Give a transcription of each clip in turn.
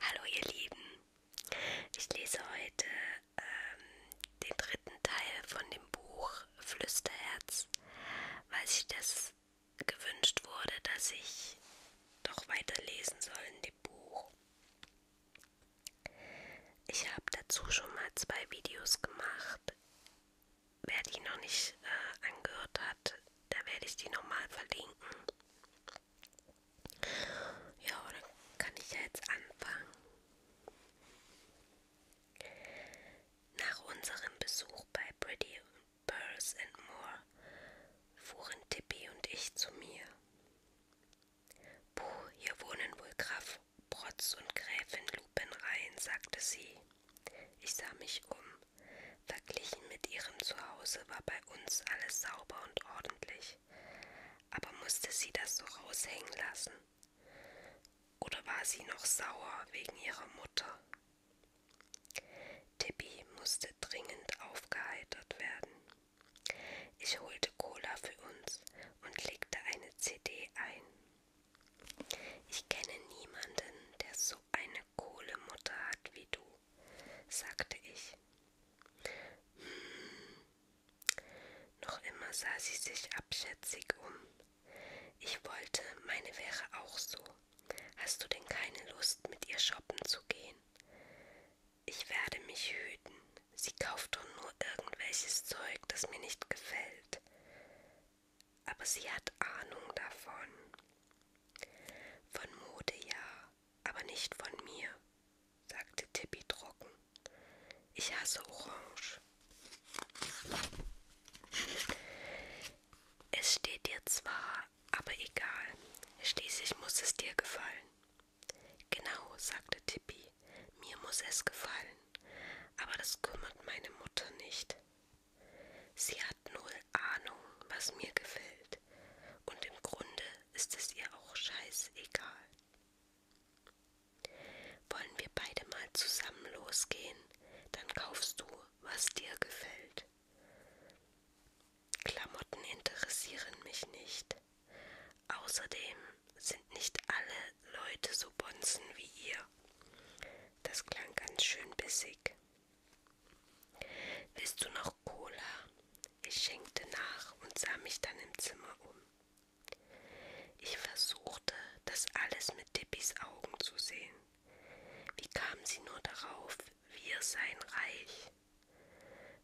Hallo ihr Lieben, ich lese heute ähm, den dritten Teil von dem Buch Flüsterherz, weil sich das gewünscht wurde, dass ich doch weiterlesen soll in dem Buch. Ich habe dazu schon mal zwei Videos gemacht. Wer die noch nicht äh, angehört hat, da werde ich die nochmal verlinken. Ja, dann kann ich ja jetzt anfangen. Nach unserem Besuch bei Pretty Pearls and More fuhren Tippi und ich zu mir. Puh, hier wohnen wohl Graf Protz und Gräfin Lupin-Rhein, sagte sie. Ich sah mich um. Verglichen mit ihrem Zuhause war bei uns alles sauber und ordentlich. Aber musste sie das so raushängen lassen? Oder war sie noch sauer wegen ihrer Mutter? Tippi musste dringend aufgeheitert werden. Ich holte Cola für uns und legte eine CD ein. Ich kenne niemanden, der so eine Kohlemutter hat wie du, sagte ich. Hm, noch immer sah sie sich abschätzig um. Ich wollte, meine wäre auch so. Hast du denn keine Lust, mit ihr shoppen zu gehen? Ich werde mich hüten. Sie kauft doch nur irgendwelches Zeug, das mir nicht gefällt. Aber sie hat Ahnung davon. Von Mode ja, aber nicht von mir sagte Tippi trocken. Ich hasse Orange. Es steht dir zwar, aber egal. Schließlich muss es dir gefallen. Genau, sagte Tippi. Mir muss es gefallen. Aber das kümmert meine Mutter nicht. Sie hat null Ahnung, was mir gefällt. Und im Grunde ist es ihr auch scheißegal. Wollen wir beide mal zusammen losgehen? Dann kaufst du, was dir gefällt. Klamotten interessieren mich nicht. Außerdem sind nicht alle Leute so bonzen wie ihr. Das klang ganz schön bissig. Willst du noch Cola? Ich schenkte nach und sah mich dann im Zimmer um. Ich versuchte, das alles mit Dippys Augen zu sehen. Wie kam sie nur darauf, wir seien reich?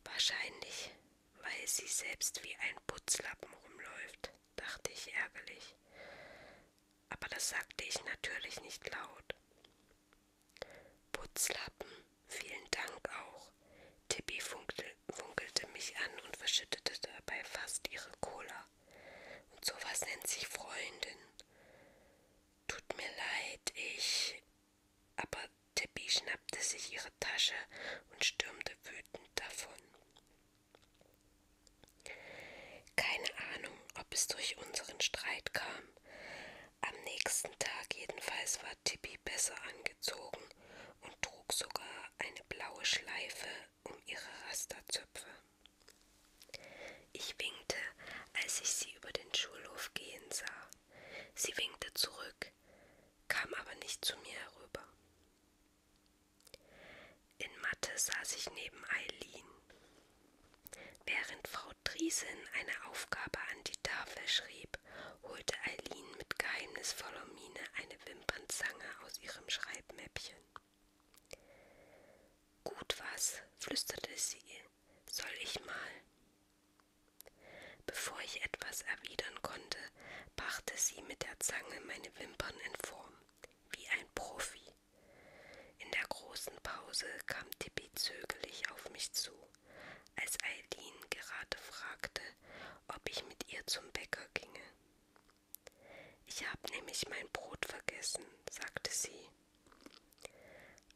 Wahrscheinlich, weil sie selbst wie ein Putzlappen rumläuft, dachte ich ärgerlich. Aber das sagte ich natürlich nicht laut. Putzlappen, vielen Dank auch. Tippi funkte funkelte mich an und verschüttete dabei fast ihre Cola. Und sowas nennt sich Freundin. Tut mir leid, ich. Aber Tippi schnappte sich ihre Tasche und stürmte wütend davon. Keine Ahnung, ob es durch unseren Streit kam. Am nächsten Tag jedenfalls war Tippi besser angezogen und trug sogar eine blaue Schleife um ihre Rasterzöpfe. Ich winkte, als ich sie über den Schulhof gehen sah. Sie winkte zurück, kam aber nicht zu mir herüber. In Mathe saß ich neben Eileen. Während Frau Driesen eine Aufgabe an die Tafel schrieb holte Eileen mit geheimnisvoller Miene eine Wimpernzange aus ihrem Schreibmäppchen. Gut was, flüsterte sie, soll ich mal? Bevor ich etwas erwidern konnte, brachte sie mit der Zange meine Wimpern in Form, wie ein Profi. In der großen Pause kam Tippi zögerlich auf mich zu, als Eileen gerade fragte, ob ich mit ihr zum Bäcker ginge. Ich habe nämlich mein Brot vergessen, sagte sie.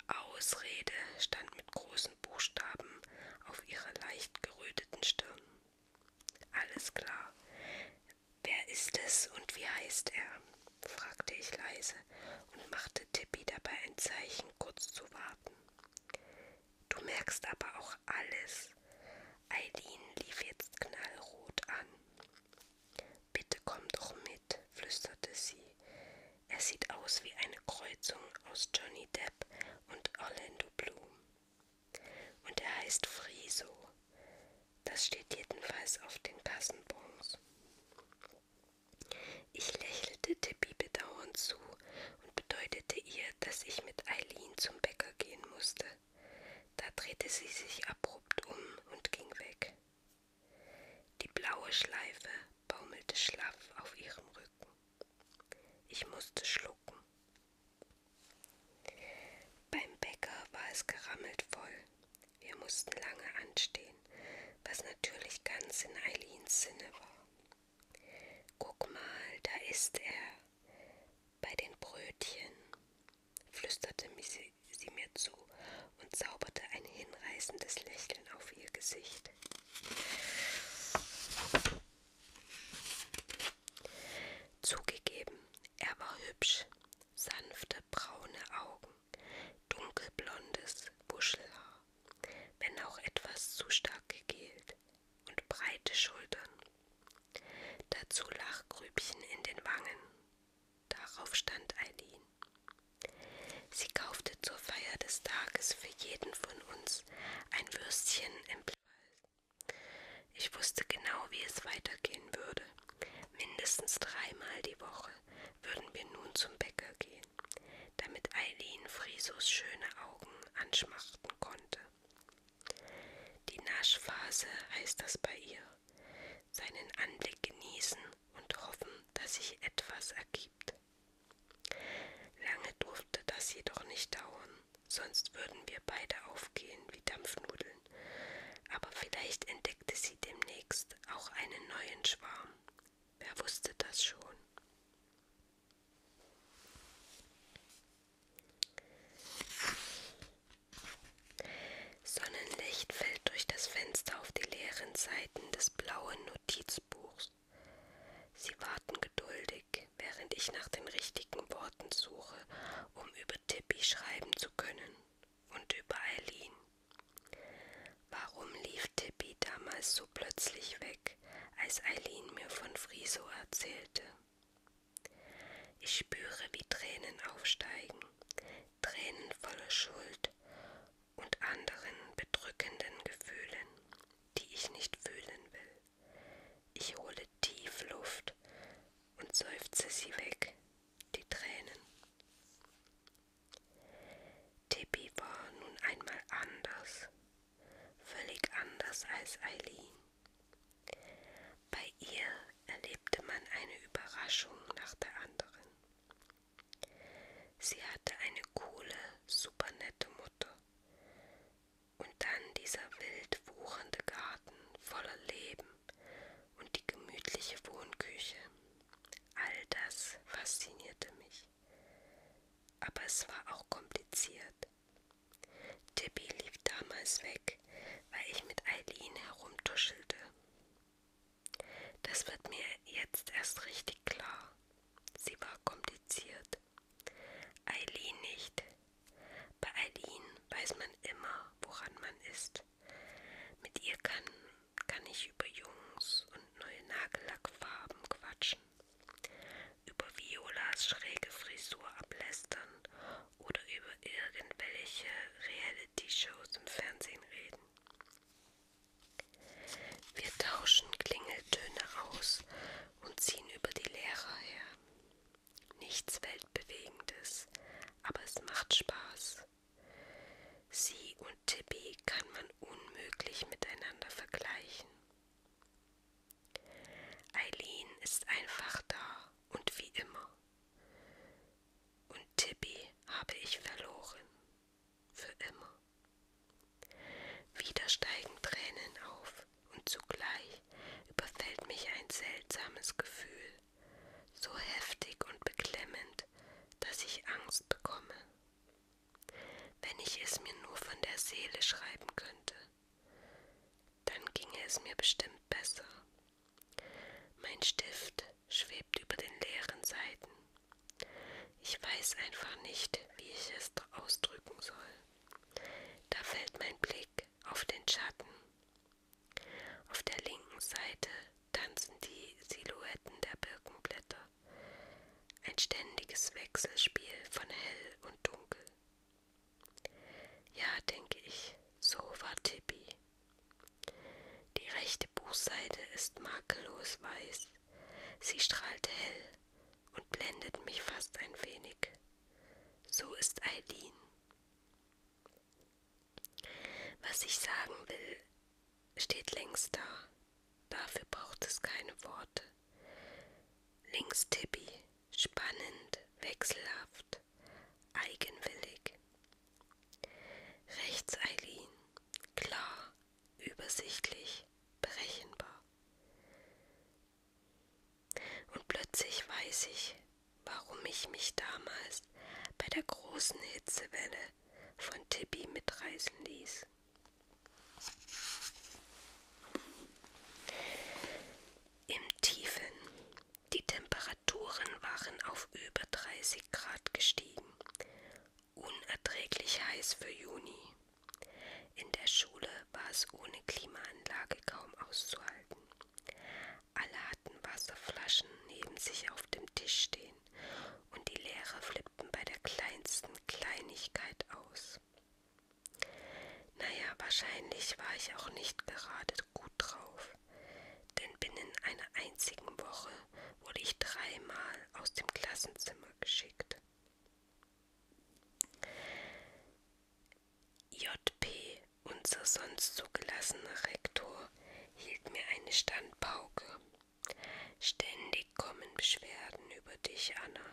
Ausrede stand mit großen Buchstaben auf ihrer leicht geröteten Stirn. Alles klar. Wer ist es und wie heißt er? fragte ich leise und machte Tippi dabei ein Zeichen, kurz zu warten. Du merkst aber auch alles. Eileen lief jetzt knallrot an. Bitte komm doch mit, flüsterte sie. Er sieht aus wie eine Kreuzung aus Johnny Depp und Orlando Bloom. Und er heißt Friso. Das steht jedenfalls auf den Kassenbons. Ich lächelte Tippi bedauernd zu und bedeutete ihr, dass ich mit Eileen zum Bäcker gehen musste. Da drehte sie sich abrupt um und ging weg. Die blaue Schleife baumelte schlaff auf ihrem Rücken. Ich musste schlucken. Beim Bäcker war es gerammelt voll. Wir mussten lange anstehen, was natürlich ganz in Eileens Sinne war. Guck mal, da ist er, bei den Brötchen, flüsterte sie, sie mir zu und zauberte ein hinreißendes Lächeln auf ihr Gesicht. Zugegeben, er war hübsch, sanfte braune Augen, dunkelblondes Wuschelhaar, wenn auch etwas zu stark gegelt, und breite Schultern. Dazu Lachgrübchen in den Wangen. Darauf stand Eileen. Sie kaufte zur Feier des Tages für jeden von uns ein Würstchen im Wald. Ich wusste genau, wie es weitergehen würde. Mindestens dreimal die Woche würden wir nun zum Bäcker gehen damit Eileen Frisos schöne Augen anschmachten konnte. Die Naschphase heißt das bei ihr. Seinen Anblick genießen und hoffen, dass sich etwas ergibt. Lange durfte das jedoch nicht dauern, sonst würden wir beide aufgehen wie Dampfnudeln. Aber vielleicht entdeckte sie demnächst auch einen neuen Schwarm. Wer wusste das schon? Sonnenlicht fällt durch das Fenster auf die leeren Seiten des blauen Notizbuchs. Sie warten geduldig, während ich nach den richtigen Worten suche, um über Tippi schreiben zu können und über Eileen. Warum lief Tippi damals so plötzlich weg? weg, als Eileen mir von Friso erzählte. Ich spüre, wie Tränen aufsteigen, Tränen voller Schuld und anderen bedrückenden Gefühlen, die ich nicht fühlen will. Ich hole tief Luft und seufze sie weg, die Tränen. Tippi war nun einmal anders völlig anders als Eileen. Bei ihr erlebte man eine Überraschung nach der anderen. Sie hatte eine coole, supernette Mutter. Und dann dieser wild wuchernde Garten voller Leben und die gemütliche Wohnküche. All das faszinierte mich. Aber es war auch kompliziert. Debbie lief damals weg, weil ich mit Eileen herumtuschelte. Das wird mir jetzt erst richtig klar. Sie war kompliziert. Eileen nicht. Bei Eileen weiß man immer, woran man ist. Mit ihr kann, kann ich über Jungs und neue Nagellackfarben quatschen. Über Violas schräge Frisur ablästern oder über irgendwelche Reality-Shows im Fernsehen reden. Wir tauschen Klingeltöne aus und ziehen über die Lehrer her. Nichts Weltbewegendes, aber es macht Spaß. Sie und Tippi kann man unmöglich miteinander vergleichen. Eileen ist einfach da und wie immer. Und Tippi habe ich verloren. Für immer. Wieder steigen Tränen auf und zugleich überfällt mich ein seltsames Gefühl, so heftig und beklemmend, dass ich Angst bekomme. Wenn ich es mir nur von der Seele schreiben könnte, dann ginge es mir bestimmt besser. Mein Stift schwebt über den leeren Seiten. Ich weiß einfach nicht, wie ich es ausdrücken soll. Da fällt mein Blick auf den Schatten. Auf der linken Seite tanzen die Silhouetten der Birkenblätter ein ständiges Wechselspiel von hell und dunkel. Ja, denke ich, so war Tippi. Die rechte Buchseite ist makellos weiß. Sie strahlt hell und blendet mich fast ein wenig. So ist Eileen. Was ich sagen will, steht längst da. Dafür braucht es keine Worte. Links Tippi, spannend, wechselhaft, eigenwillig. Rechts Eileen, klar, übersichtlich, berechenbar. Und plötzlich weiß ich, warum ich mich damals bei der großen Hitzewelle von Tippi mitreißen ließ. Im Tiefen. Die Temperaturen waren auf über 30 Grad gestiegen. Unerträglich heiß für Juni. In der Schule war es ohne Klimaanlage kaum auszuhalten. Alle hatten Wasserflaschen neben sich auf dem Tisch stehen und die Lehrer flippten bei der kleinsten Kleinigkeit aus. Naja, wahrscheinlich war ich auch nicht gerade gut drauf, denn binnen einer einzigen Woche wurde ich dreimal aus dem Klassenzimmer geschickt. JP, unser sonst zugelassener Rektor, hielt mir eine Standpauke Ständig kommen Beschwerden über dich, Anna.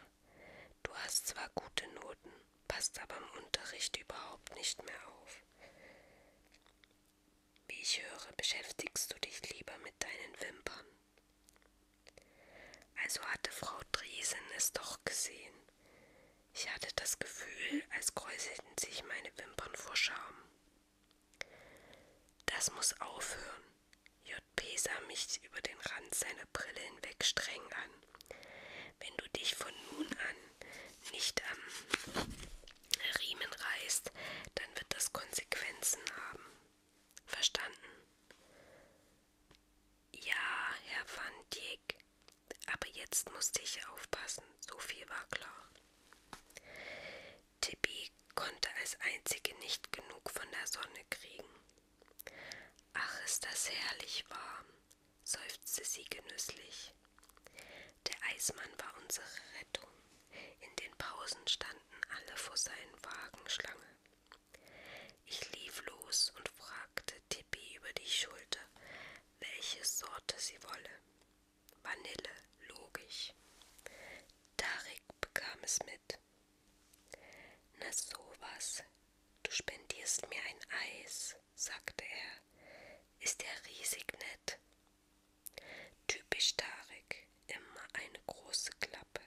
Du hast zwar gute Noten, passt aber im Unterricht überhaupt nicht mehr auf. Wie ich höre, beschäftigst du dich lieber mit deinen Wimpern. Also hatte Frau Driesen es doch gesehen. Ich hatte das Gefühl, als kräuselten sich meine Wimpern vor Scham. Das muss aufhören. J.P. sah mich über den Rand seiner Brille hinweg streng an. Wenn du dich von nun an nicht am Riemen reißt, dann wird das Konsequenzen haben. Verstanden? Ja, Herr Van Dijk, aber jetzt musste ich aufpassen, so viel war klar. Tibi konnte als einzige nicht genug von der Sonne kriegen. Ach, ist das herrlich warm, seufzte sie genüsslich. Der Eismann war unsere Rettung. In den Pausen standen alle vor seinen Wagen Schlange. Ich lief los und fragte Tippi über die Schulter, welche Sorte sie wolle. Vanille, logisch. Tarek bekam es mit mit. Na sowas, du spendierst mir ein Eis, sagte er. Ist er riesig nett? Typisch Tarek, immer eine große Klappe.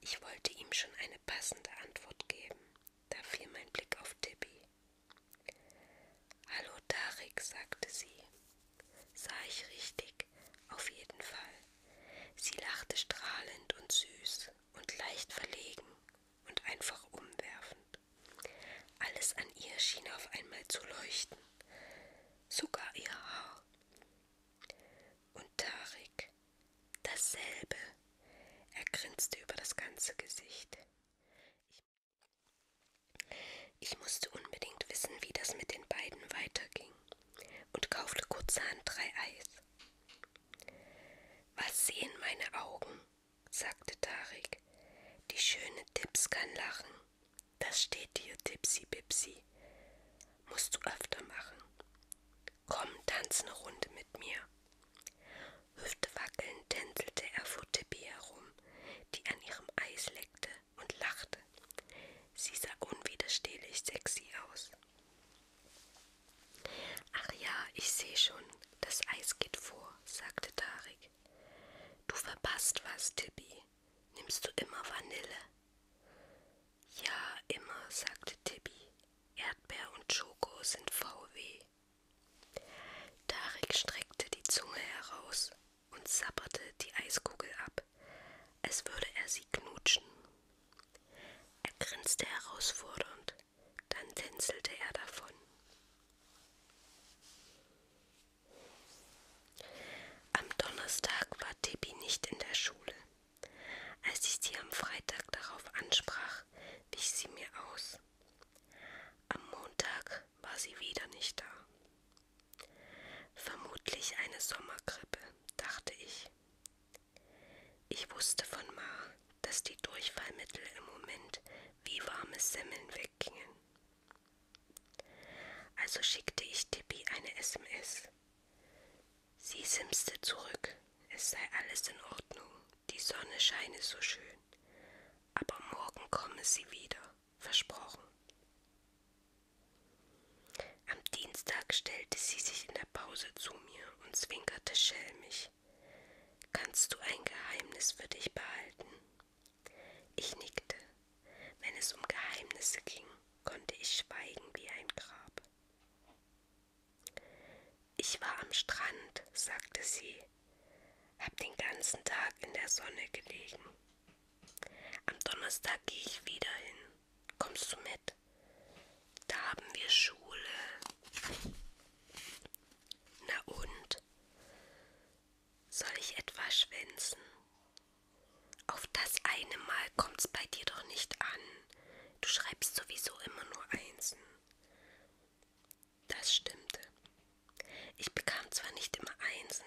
Ich wollte ihm schon eine passende Antwort geben. Da fiel mein Blick auf Tippi. Hallo Tarek, sagte sie. Sah ich richtig, auf jeden Fall. Sie lachte strahlend und süß und leicht verlegen und einfach umwerfend. Alles an ihr schien auf einmal zu leuchten, sogar ihr Haar. Und Tarek, dasselbe. Er grinste über das ganze Gesicht. Ich musste unbedingt wissen, wie das mit den beiden weiterging und kaufte kurzerhand drei Eis. Was sehen meine Augen? sagte Tarek. Die schöne Dips kann lachen. Das steht dir, Dipsy Bipsy. Musst du öfter machen. Komm, tanz eine Runde mit mir. Hüftewackelnd tänzelte er vor Tippi herum, die an ihrem Eis leckte und lachte. Sie sah unwiderstehlich sexy aus. Ach ja, ich sehe schon, das Eis geht vor, sagte Tarek. Du verpasst was, Tibi. Nimmst du immer Vanille? Ja, immer, sagte Tibi. Erdbeer und Schoko sind VW. Tarek streckte die Zunge heraus und sabberte die Eiskugel ab, als würde er sie knutschen. Er grinste herausfordernd, dann tänzelte er davon. Am Donnerstag war Tippi nicht in der Schule. Als ich sie am Freitag darauf ansprach, wich sie mir aus. Am Montag war sie wieder nicht da. Vermutlich eine Sommergrippe, dachte ich. Ich wusste von Ma, dass die Durchfallmittel im Moment wie warme Semmeln weggingen. Also schickte ich Tippi eine SMS. Sie simste zurück, es sei alles in Ordnung, die Sonne scheine so schön, aber morgen komme sie wieder versprochen. Am Dienstag stellte sie sich in der Pause zu mir und zwinkerte schelmisch. Kannst du ein Geheimnis für dich behalten? Ich nickte. Wenn es um Geheimnisse ging, konnte ich schweigen wie ein Grab. Ich war am Strand, sagte sie, hab den ganzen Tag in der Sonne gelegen. Am Donnerstag gehe ich wieder hin. Kommst du mit? Da haben wir Schule. Na und? Soll ich etwa schwänzen? Auf das eine Mal kommt's bei dir doch nicht an. Du schreibst sowieso immer nur Einsen. Das stimmte. Ich bekam zwar nicht immer Einsen,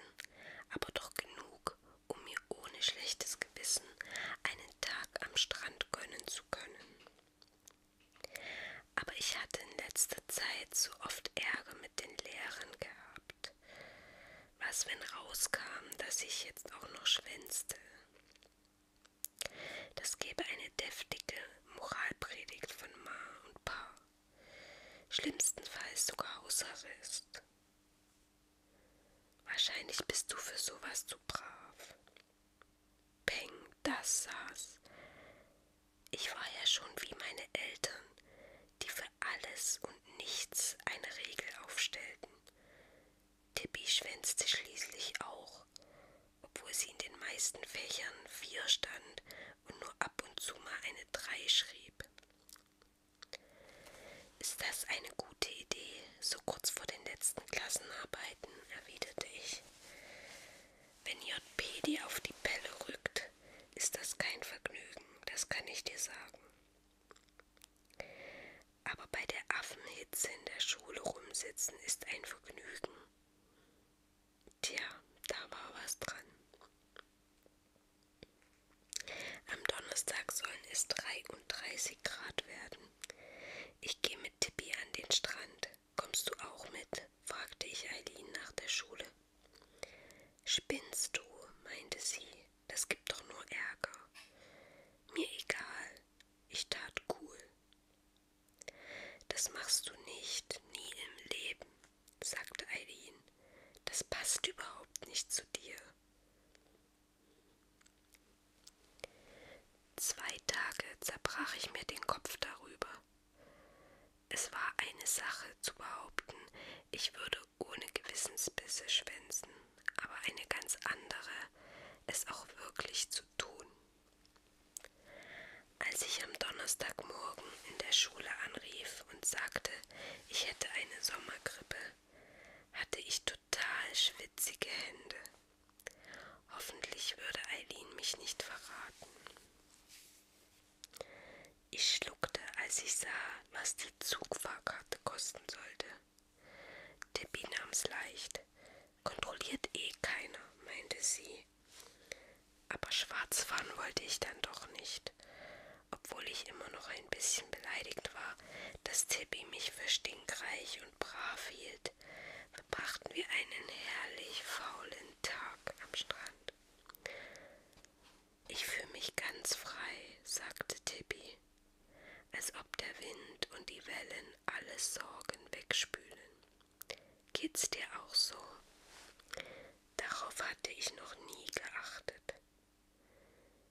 aber doch genug, um mir ohne schlechtes Gewissen einen Tag am Strand gönnen zu können. Aber ich hatte in letzter Zeit so oft Ärger mit den Lehrern gehabt. Was, wenn rauskam, dass ich jetzt auch noch schwänzte? Das gäbe eine deftige Moralpredigt von Ma und Pa. Schlimmstenfalls sogar Hausarrest. Wahrscheinlich bist du für sowas zu brav. Peng, das saß. Ich war ja schon wie meine Eltern, die für alles und nichts eine Regel aufstellten. Tippi schwänzte schließlich auch, obwohl sie in den meisten Fächern vier stand und nur ab und zu mal eine drei schrieb. Ist das eine gute Idee, so kurz vor den letzten Klassenarbeiten, erwiderte ich. Wenn JP dir auf die Pelle rückt, ist das kein Vergnügen, das kann ich dir sagen. Aber bei der Affenhitze in der Schule rumsitzen ist ein Vergnügen. Tja, da war was dran. Am Donnerstag sollen es 33 Grad werden. Ich gehe mit Tippi an den Strand. Kommst du auch mit? fragte ich Eileen nach der Schule. Spinnst du, meinte sie. Das gibt doch nur Ärger. Mir egal. Ich tat cool. Das machst du nicht, nie im Leben, sagte Eileen. Das passt überhaupt nicht zu dir. Zwei Tage zerbrach ich mir den Kopf darüber. Es war eine Sache zu behaupten, ich würde ohne Gewissensbisse schwänzen, aber eine ganz andere, es auch wirklich zu tun. Als ich am Donnerstagmorgen in der Schule anrief und sagte, ich hätte eine Sommergrippe, hatte ich total schwitzige Hände. Hoffentlich würde Eileen mich nicht verraten. Ich schluckte, als ich sah, was die Zugfahrkarte kosten sollte. Debbie nahm's leicht. Kontrolliert eh keiner, meinte sie. Aber schwarz fahren wollte ich dann doch nicht obwohl ich immer noch ein bisschen beleidigt war, dass Tippi mich für stinkreich und brav hielt, verbrachten wir einen herrlich faulen Tag am Strand. Ich fühle mich ganz frei, sagte Tippi, als ob der Wind und die Wellen alle Sorgen wegspülen. Geht's dir auch so? Darauf hatte ich noch nie geachtet.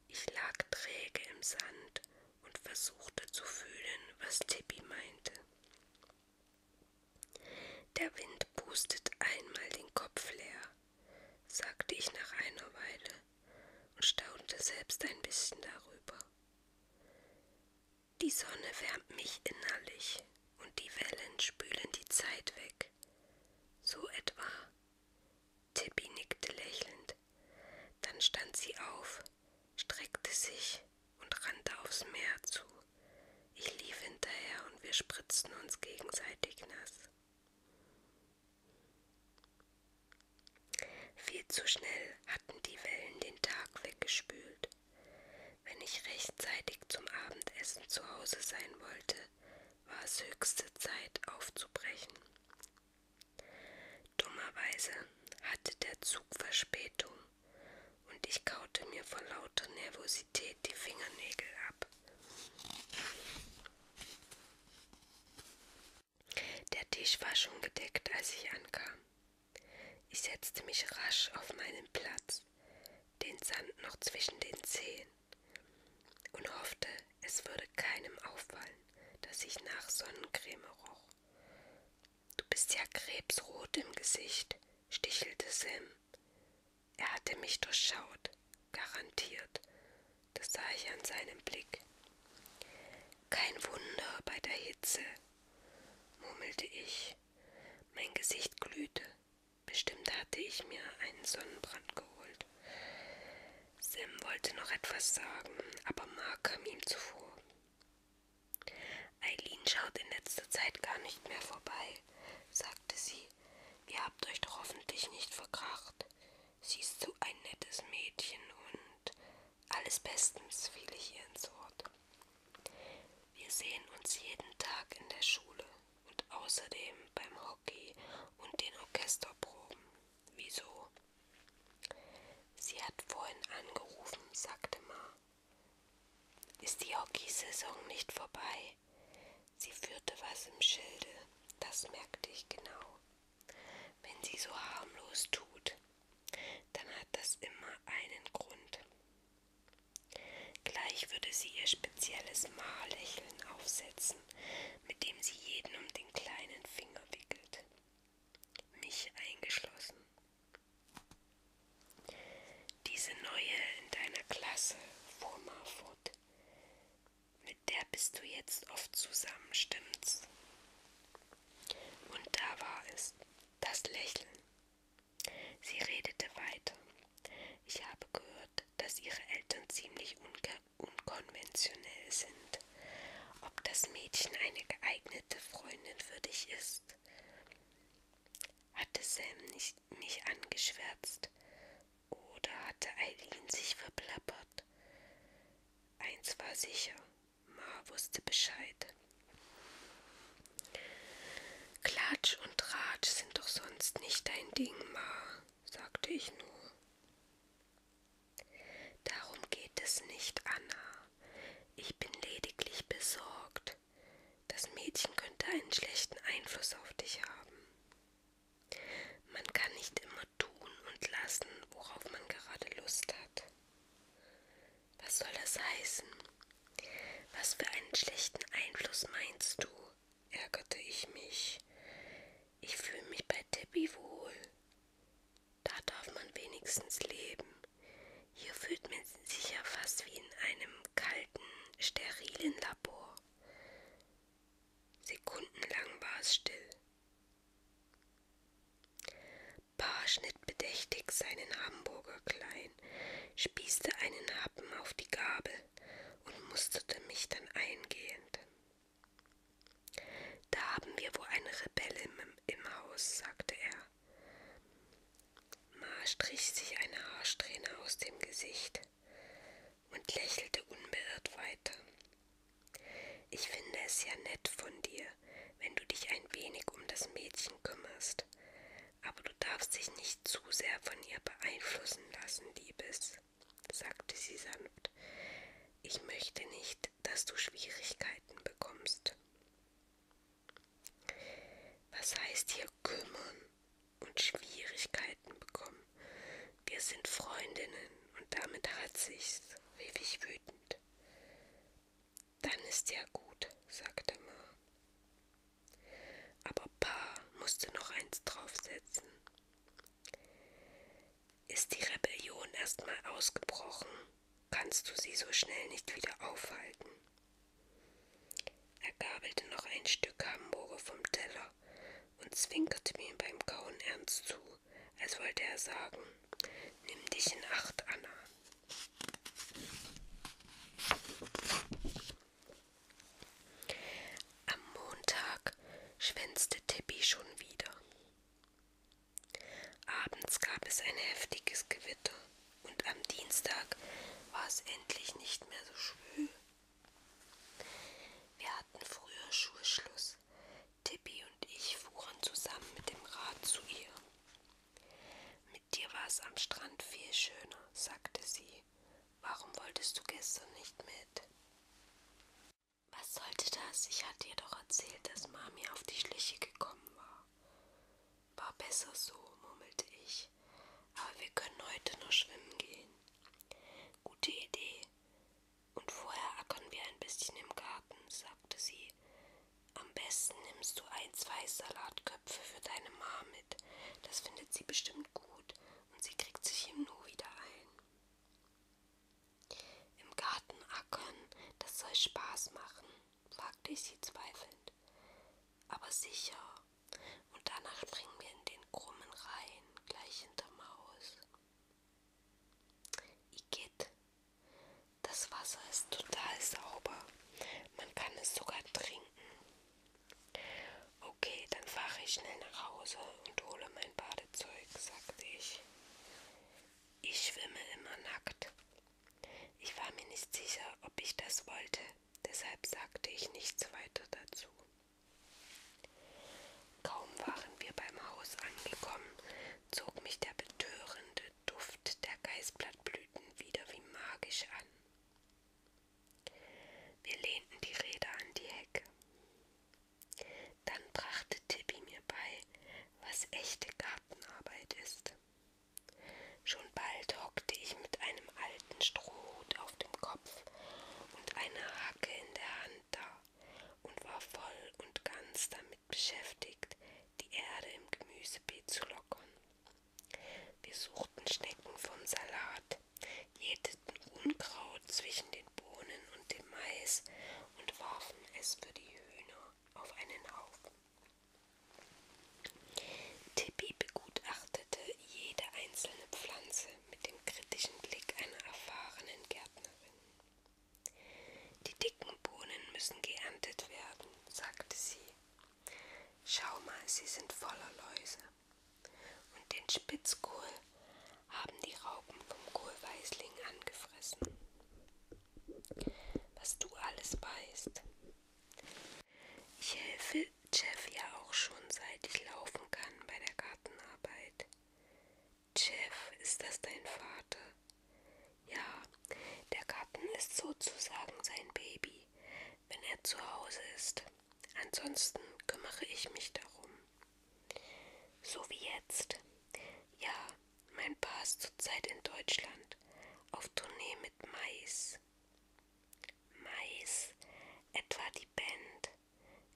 Ich lag träge im Sand und versuchte zu fühlen, was Tippi meinte. Der Wind pustet einmal den Kopf leer, sagte ich nach einer Weile und staunte selbst ein bisschen darüber. Die Sonne wärmt mich innerlich und die Wellen spülen die Zeit weg, so etwa. Tippi nickte lächelnd. Dann stand sie auf, streckte sich und rannte aufs Meer zu. Ich lief hinterher und wir spritzten uns gegenseitig nass. Viel zu schnell hatten die Wellen den Tag weggespült. Wenn ich rechtzeitig zum Abendessen zu Hause sein wollte, war es höchste Zeit aufzubrechen. Dummerweise hatte der Zug Verspätung und ich kaute mir vor lauter Nervosität die Fingernägel ab. Der Tisch war schon gedeckt, als ich ankam. Ich setzte mich rasch auf meinen Platz, den Sand noch zwischen den Zehen und hoffte, es würde keinem auffallen, dass ich nach Sonnencreme roch. Du bist ja krebsrot im Gesicht, stichelte Sam. Er hatte mich durchschaut, garantiert. Das sah ich an seinem Blick. Kein Wunder bei der Hitze, murmelte ich. Mein Gesicht glühte, Bestimmt hatte ich mir einen Sonnenbrand geholt. Sam wollte noch etwas sagen, aber Mark kam ihm zuvor. Eileen schaut in letzter Zeit gar nicht mehr vorbei, sagte sie. Ihr habt euch doch hoffentlich nicht verkracht. Sie ist so ein nettes Mädchen und alles bestens, fiel ich ihr ins Wort. Wir sehen uns jeden Tag in der Schule, und außerdem beim Hockey und den Orchesterproben. Wieso? Sie hat vorhin angerufen, sagte Ma. Ist die Hockeysaison nicht vorbei? Sie führte was im Schilde, das merkte ich genau. Wenn sie so harmlos tut, dann hat das immer einen Grund. Gleich würde sie ihr spezielles Mahllächeln aufsetzen, mit dem sie jeden um den kleinen Finger wickelt. Mich eingeschlossen. Diese neue in deiner Klasse, fuhr Marfort. Mit der bist du jetzt oft zusammen, stimmt's? Und da war es, das Lächeln. Sie redete weiter. Ich habe gehört, dass Ihre Eltern ziemlich unkonventionell sind. Ob das Mädchen eine geeignete Freundin für dich ist? Hatte Sam nicht, mich angeschwärzt? Oder hatte Eileen sich verplappert? Eins war sicher, Ma wusste Bescheid. Klatsch und Tratsch sind doch sonst nicht dein Ding, Ma, sagte ich nur. Darum geht es nicht, Anna. Ich bin lediglich besorgt. Das Mädchen könnte einen schlechten Einfluss auf dich haben. Man kann nicht immer tun und lassen, worauf man gerade Lust hat. Was soll das heißen? Was für einen schlechten Einfluss meinst du? ärgerte ich mich. Ich fühle mich bei Debbie wohl. Da darf man wenigstens leben. Hier fühlt man sich ja fast wie in einem kalten, sterilen Labor. Sekundenlang war es still. Paar schnitt bedächtig seinen Hamburger klein, spießte einen Happen auf die Gabel und musterte mich dann eingehend. Da haben wir wohl eine Rebellin im, im Haus, sagte er. Ma strich sich eine Haarsträhne aus dem Gesicht und lächelte unbeirrt weiter. Ich finde es ja nett von dir, wenn du dich ein wenig um das Mädchen kümmerst, aber du darfst dich nicht nicht zu sehr von ihr beeinflussen lassen, Liebes, sagte sie sanft. Ich möchte nicht, dass du Schwierigkeiten bekommst. Was heißt hier kümmern und Schwierigkeiten bekommen? Wir sind Freundinnen und damit hat sich's, rief ich wütend. Dann ist ja gut, sagte Ma. Aber Pa musste noch eins draufsetzen. Ist die Rebellion erstmal ausgebrochen, kannst du sie so schnell nicht wieder aufhalten. Er gabelte noch ein Stück Hamburger vom Teller und zwinkerte mir beim Kauen ernst zu, als wollte er sagen, nimm dich in Acht, Anna. Am Montag schwänzte Tippi schon wieder. Abends gab es ein heftiges Gewitter und am Dienstag war es endlich nicht mehr so schwül. Wir hatten früher Schulschluss. Tippi und ich fuhren zusammen mit dem Rad zu ihr. Mit dir war es am Strand viel schöner, sagte sie. Mary, warum wolltest du gestern nicht mit? Was sollte das? Ich hatte ihr doch erzählt, dass Mami auf die Schliche gekommen war. War besser so, murmelte ich. Aber wir können heute noch schwimmen gehen. Gute Idee. Und vorher ackern wir ein bisschen im Garten, sagte sie. Am besten nimmst du ein, zwei Salatköpfe für deine Ma mit. Das findet findet sie bestimmt gut und sie kriegt sich im Nu wieder ein. Im Garten ackern, das soll Spaß machen, fragte ich sie zweifelnd. Aber sicher. Und danach springen wir in den krummen Rhein, gleich hinterm Haus. Igitt, das Wasser ist total sauber. Man kann es sogar trinken. Okay, dann fahre ich schnell nach Hause und hole mein Badezeug, sagte ich. Ich schwimme immer nackt. Ich war mir nicht sicher, ob ich das wollte, deshalb sagte ich nichts weiter dazu. Kaum waren wir beim Haus angekommen, zog mich der betörende Duft der Geißblattblüten wieder wie magisch an. Wir lehnten die Räder an die Hecke. Dann brachte Tippi mir bei, was echte Gartenarbeit ist. Schon bald hockte ich mit einem alten Strohhut auf dem Kopf und einer Hacke in der Hand da und war voll und ganz damit beschäftigt, die Erde im Gemüsebeet zu lockern. Wir suchten Schnecken vom Salat, jäteten Unkraut zwischen den Bohnen und dem Mais und warfen es für die Hühner auf einen Haufen. Tippi begutachtete jede einzelne Pflanze mit dem kritischen Blick einer erfahrenen Gärtnerin. Die dicken Bohnen müssen geerntet werden, sagte sie Schau mal, sie sind voller Läuse. Und den Spitzkohl haben die Raupen vom Kohlweißling angefressen. Was du alles weißt. Ich helfe Jeff ja auch schon, seit ich laufen kann bei der Gartenarbeit. Jeff, ist das dein Vater? Ja, der Garten ist sozusagen sein Baby wenn er zu Hause ist. Ansonsten kümmere ich mich darum. So wie jetzt. Ja, mein Paar ist zurzeit in Deutschland auf Tournee mit Mais. Mais, etwa die Band.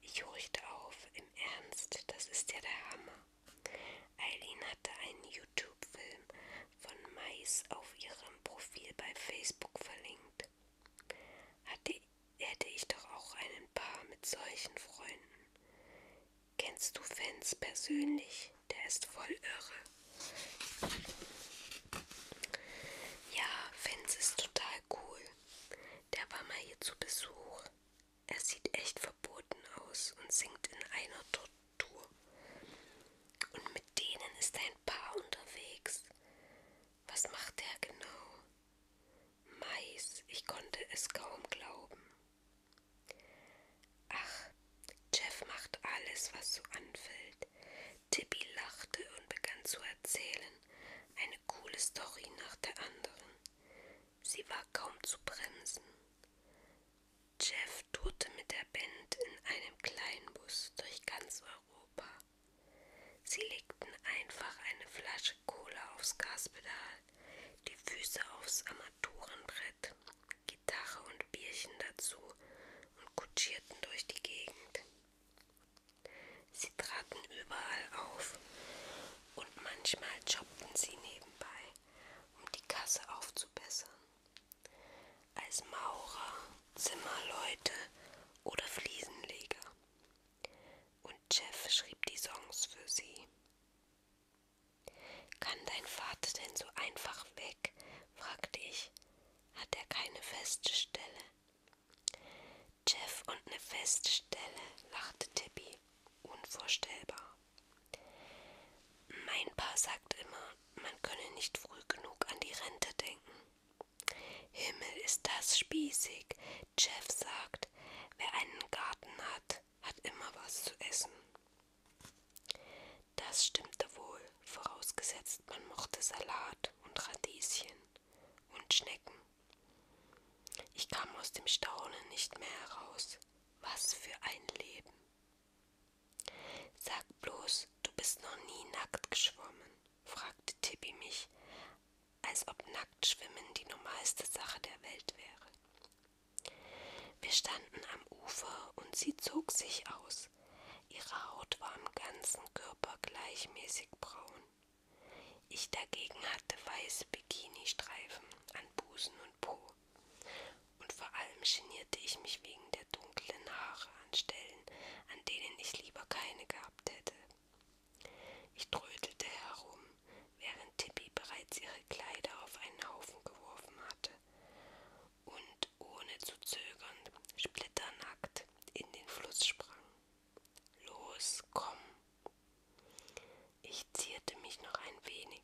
Ich horchte auf, im Ernst, das ist ja der Hammer. Eileen hatte einen YouTube-Film von Mais auf ihrem Profil bei Facebook verlinkt. Hatte, hätte ich doch auch einen Paar mit solchen Freunden. Kennst du Fans persönlich? Der ist voll irre. Ja, Fans ist total cool. Der war mal hier zu Besuch. Er sieht echt verboten aus und singt in einer Tortur Tour. Und mit denen ist ein Paar unterwegs. Was macht der genau? Mais, ich konnte es kaum glauben. Ach, Jeff macht alles, was so anfällt. Tippi lachte und begann zu erzählen, eine coole Story nach der anderen. Sie war kaum zu bremsen. Jeff tourte mit der Band in einem kleinen Bus durch ganz Europa. Sie legten einfach eine Flasche Cola aufs Gaspedal, die Füße aufs Armaturenbrett, Gitarre und Bierchen dazu und kutschierten durch die Gegend. Sie traten überall auf und manchmal jobbten sie nebenbei, um die Kasse aufzubessern als Maurer, Zimmerleute oder Fliesenleger. Und Jeff schrieb die Songs für sie. Kann dein Vater denn so einfach weg? fragte ich. Hat er keine feste Stelle? Jeff und eine feste Stelle, lachte Tippi. Unvorstellbar. Mein Paar sagt immer, man könne nicht früh genug an die Rente denken. Himmel ist das spießig. Jeff sagt, wer einen Garten hat, hat immer was zu essen. Das stimmte wohl, vorausgesetzt man mochte Salat und Radieschen und Schnecken. Ich kam aus dem Staunen nicht mehr heraus. Was für ein Leben. Sag bloß, du bist noch nie nackt geschwommen, fragte Tippi mich, als ob Nacktschwimmen die normalste Sache der Welt wäre. Wir standen am Ufer und sie zog sich aus. Ihre Haut war am ganzen Körper gleichmäßig braun. Ich dagegen hatte weiße Bikini-Streifen an Busen und Po. Und vor allem genierte ich mich wegen der dunklen Haare an Stellen, an denen ich lieber keine gehabt hätte. Ich trödelte herum, während Tippi bereits ihre Kleider auf einen Haufen geworfen hatte und ohne zu zögern splitternackt in den Fluss sprang. Los, komm! Ich zierte mich noch ein wenig,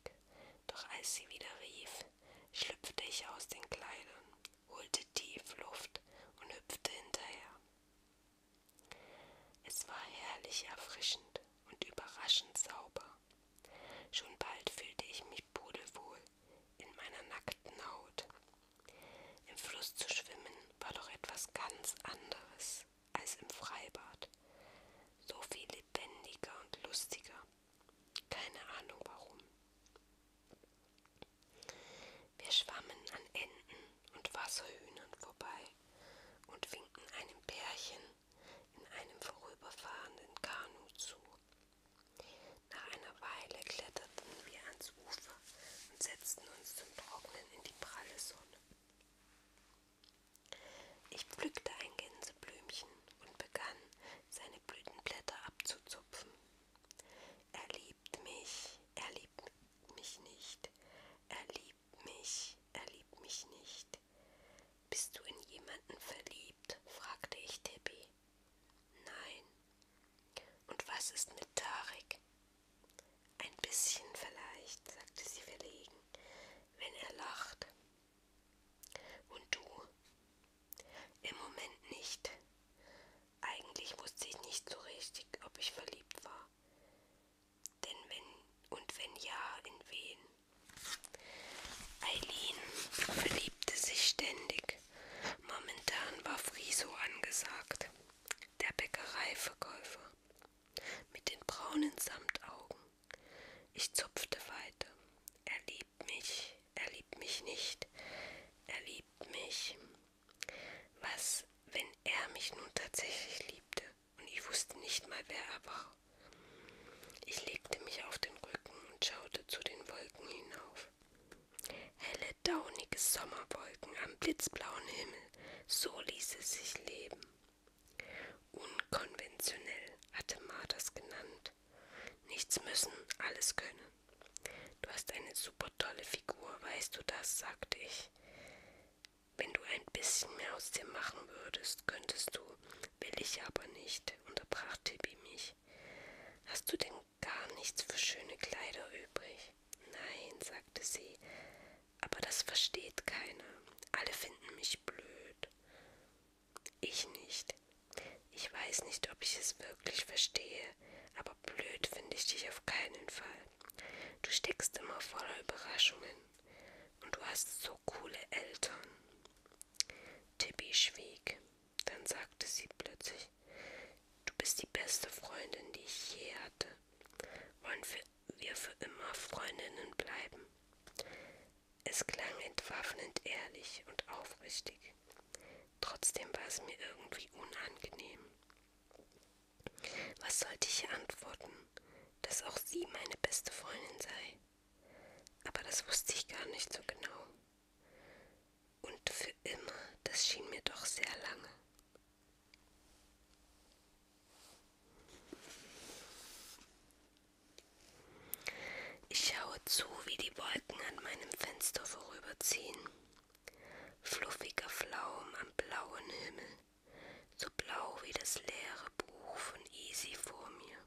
doch als sie wieder rief, schlüpfte ich aus den Kleidern, holte tief Luft und hüpfte hinterher. Es war herrlich erfrischend und überraschend sauber. Schon bald fühlte ich mich pudelwohl in meiner nackten Haut. Im Fluss zu schwimmen war doch etwas ganz anderes als im Freibad. So viel lebendiger und lustiger keine Ahnung warum. Wir schwammen an Enten und Wasserhühnern vorbei und winkten einem Pärchen in einem vorüberfahrenden Kanu zu. Nach einer Weile kletterten wir ans Ufer und setzten uns zum Trocknen in die pralle Sonne. Ich pflückte ein Gänseblümchen und begann, seine Blütenblätter abzuzupfen. Er liebt mich, er liebt mich nicht, er liebt mich, er liebt mich nicht. Bist du in jemanden verliebt? fragte ich Tippi. Nein. Und was ist mit Tarek? Ein bisschen vielleicht, sagte sie verlegen, wenn er lacht. Und du? Im Moment nicht. Eigentlich wusste ich nicht so richtig, ob ich verliebt war. Denn wenn und wenn ja, in wen? Eileen verliebte sich ständig. Momentan war Friso angesagt, der Bäckereiverkäufer mit den braunen Samtaugen. Ich zupfte weiter. Er liebt mich mich, er liebt mich nicht, er liebt mich. Was, wenn er mich nun tatsächlich liebte und ich wusste nicht mal, wer er war? Ich legte mich auf den Rücken und schaute zu den Wolken hinauf. Helle, daunige Sommerwolken am blitzblauen Himmel, so ließ es sich leben. Unkonventionell hatte Ma das genannt. Nichts müssen, alles können. Du hast eine super tolle Figur, weißt du das, sagte ich. Wenn du ein bisschen mehr aus dir machen würdest, könntest du. Will ich aber nicht, unterbrach Tippi mich. Hast du denn gar nichts für schöne Kleider übrig? Nein, sagte sie, aber das versteht keiner. Alle finden mich blöd. Ich nicht. Ich weiß nicht, ob ich es wirklich verstehe, aber blöd finde ich dich auf keinen Fall. Du steckst immer voller Überraschungen und du hast so coole Eltern. Tippi schwieg. Dann sagte sie plötzlich, du bist die beste Freundin, die ich je hatte. Wollen wir für immer Freundinnen bleiben? Es klang entwaffnend ehrlich und aufrichtig. Trotzdem war es mir irgendwie unangenehm. Was sollte ich antworten? Dass auch sie meine beste Freundin sei. Aber das wusste ich gar nicht so genau. Und für immer, das schien mir doch sehr lange. Ich schaue zu, wie die Wolken an meinem Fenster vorüberziehen. Fluffiger Flaum am blauen Himmel, so blau wie das leere Buch von Easy vor mir.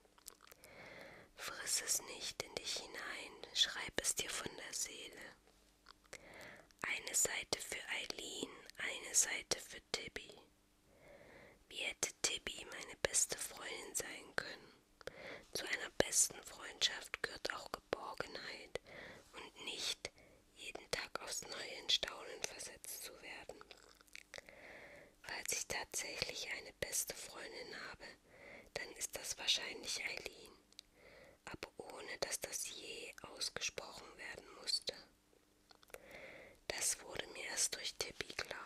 Friss es nicht in dich hinein, schreib es dir von der Seele. Eine Seite für Eileen, eine Seite für Tibby. Wie hätte Tibby meine beste Freundin sein können? Zu einer besten Freundschaft gehört auch Geborgenheit und nicht jeden Tag aufs Neue in Staunen versetzt zu werden. Falls ich tatsächlich eine beste Freundin habe, dann ist das wahrscheinlich Eileen, aber ohne dass das je ausgesprochen werden musste. Das wurde mir erst durch Tippi klar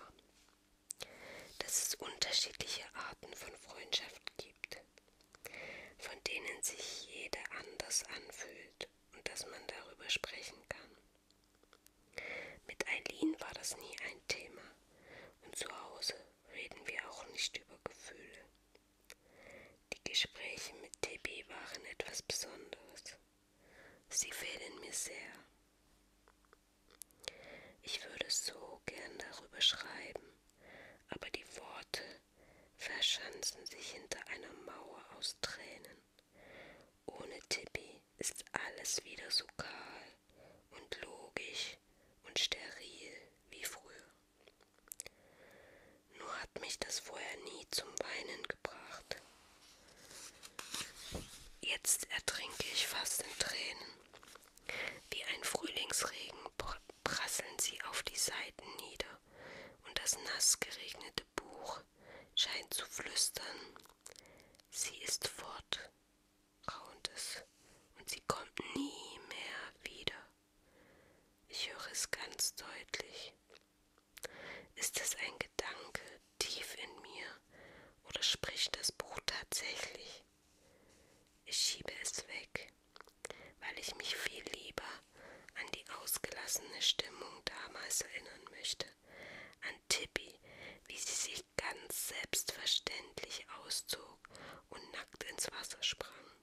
dass es unterschiedliche Arten von Freundschaft gibt, von denen sich jede anders anfühlt und dass man darüber sprechen kann. Mit Eileen war das nie ein Thema und zu Hause reden wir auch nicht über Gefühle. Die Gespräche mit TB waren etwas Besonderes. Sie fehlen mir sehr. Ich würde so gern darüber schreiben, aber die Worte verschanzen sich hinter einer Mauer aus Tränen. Ohne Tippi ist alles wieder so kahl und logisch und steril wie früher. Nur hat mich das vorher nie zum Weinen gebracht. Jetzt ertrinke ich fast in Tränen. Wie ein Frühlingsregen prasseln sie auf die Seiten nieder, und das nass geregnete Buch scheint zu flüstern. Sie ist fort, raunt es, und sie kommt nie mehr wieder. Ich höre es ganz deutlich. Ist es ein Gedanke tief in mir oder spricht das Buch tatsächlich? Ich schiebe es weg, weil ich mich viel lieber an die ausgelassene Stimmung damals erinnern möchte, an Tippi, wie sie sich ganz selbstverständlich auszog und nackt ins Wasser sprang.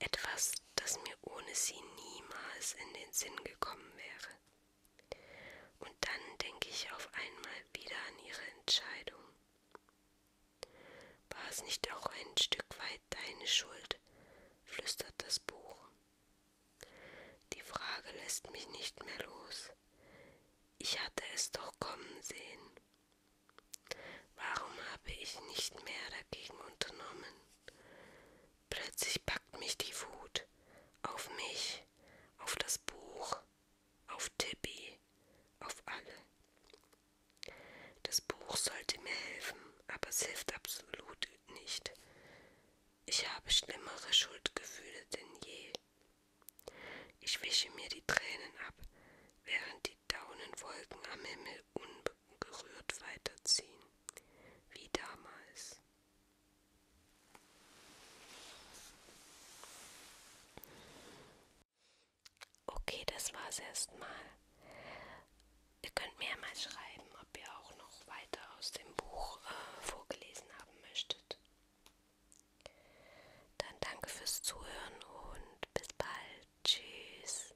Etwas, das mir ohne sie niemals in den Sinn gekommen wäre. Und dann denke ich auf einmal wieder an ihre Entscheidung. War es nicht auch ein Stück weit deine Schuld? flüstert das Buch. Die Frage lässt mich nicht mehr los. Ich hatte es doch kommen sehen. Warum habe ich nicht mehr dagegen unternommen? Plötzlich packt mich die Wut auf mich, mich, auf das Buch, auf Tippi, auf alle. Das Buch sollte mir helfen, aber es hilft absolut nicht. Ich habe schlimmere Schuldgefühle denn je. Ich wische mir die Tränen ab, während die Daunenwolken am Himmel unberührt weiterziehen, wie damals. Okay, das war's erstmal. Ihr könnt mir ja mal schreiben, ob ihr auch noch weiter aus dem Buch äh, vorgelesen haben möchtet. Dann danke fürs Zuhören und bis bald. Tschüss.